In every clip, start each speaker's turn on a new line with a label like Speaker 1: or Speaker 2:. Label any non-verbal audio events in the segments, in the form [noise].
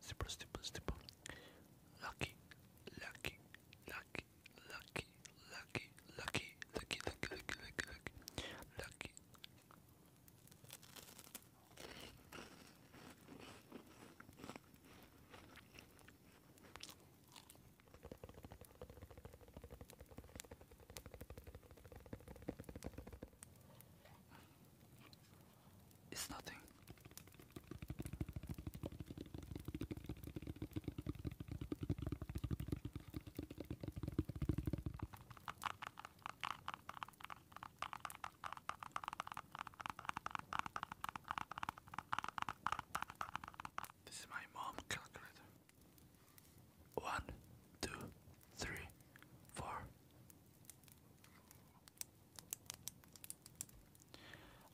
Speaker 1: Super, super, super. Lucky, lucky, lucky, lucky, lucky, lucky, lucky, lucky, lucky, lucky, lucky, lucky. It's nothing. This is my mom calculator. One, two, three, four.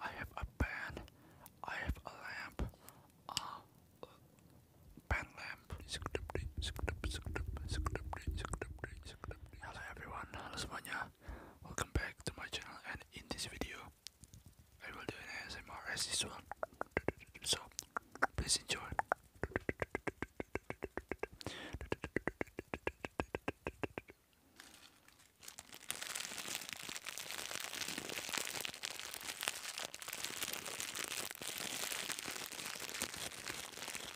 Speaker 1: I have a pen. I have a lamp. A pen lamp. Hello everyone, Hello, semuanya Welcome back to my channel and in this video I will do an ASMR as usual So, please enjoy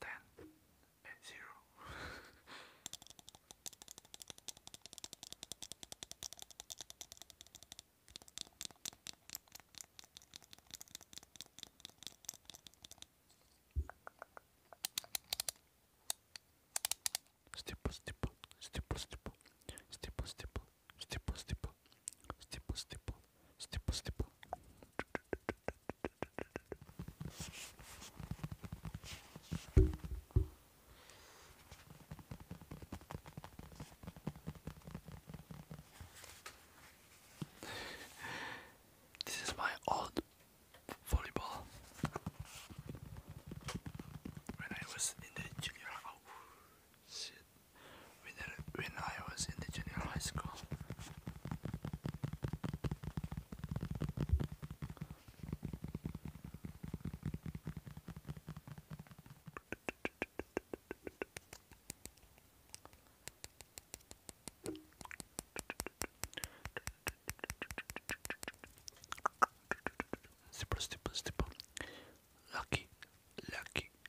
Speaker 1: 10 and 0. Stipple, stipple, stipple, stipple, stipple, stipple, stipple, stipple, stipple, stipple, stipple, this is my old volleyball when I was in the junior. Oh, shit when I was in the junior high school. Super, super, super. Lucky, lucky,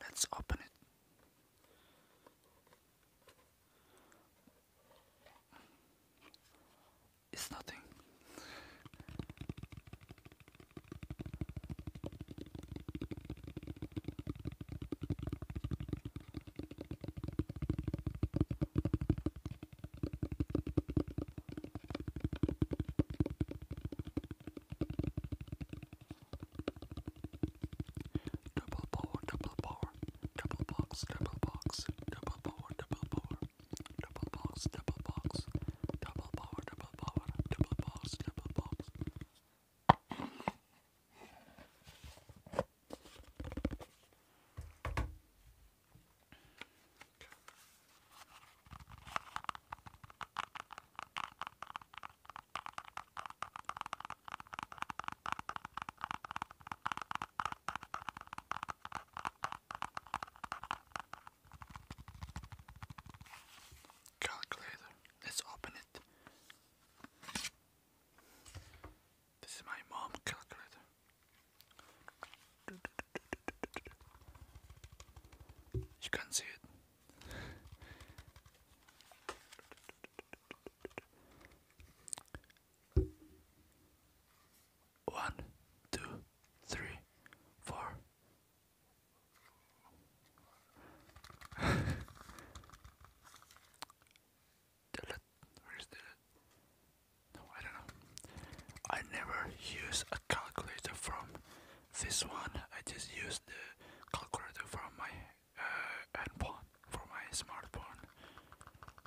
Speaker 1: Let's open it. It's nothing. Double power, double power, double box, double box, double power, double power, double box, double box, Double power, double power, double box, double box. Okay. Okay. Calculator. Let's open it. This is my mom calculator. You can see it. One, two, three, four. [laughs] delete. Where is delete? No, I don't know. I never use a calculator from this one. I just use the calculator from my uh, handphone, from my smartphone.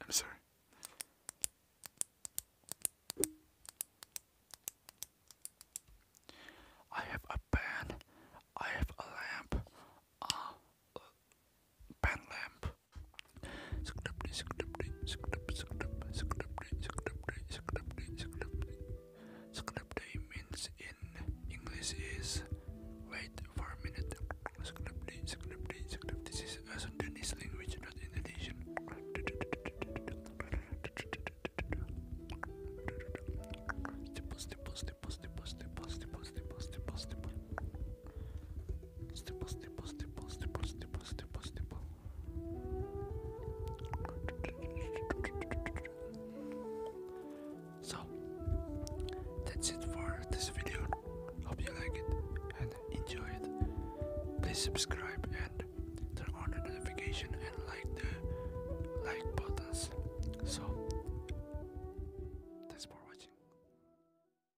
Speaker 1: I'm sorry. I have a pen. I have a lamp. A ah, uh, pen lamp. Scripty means in English is wait for a minute. Scripty, scripty, scripty. This is a Sundanese language, not Indonesian. So that's it for this video. Hope you like it and enjoy it. Please subscribe and turn on the notification and like the like buttons. So thanks for watching.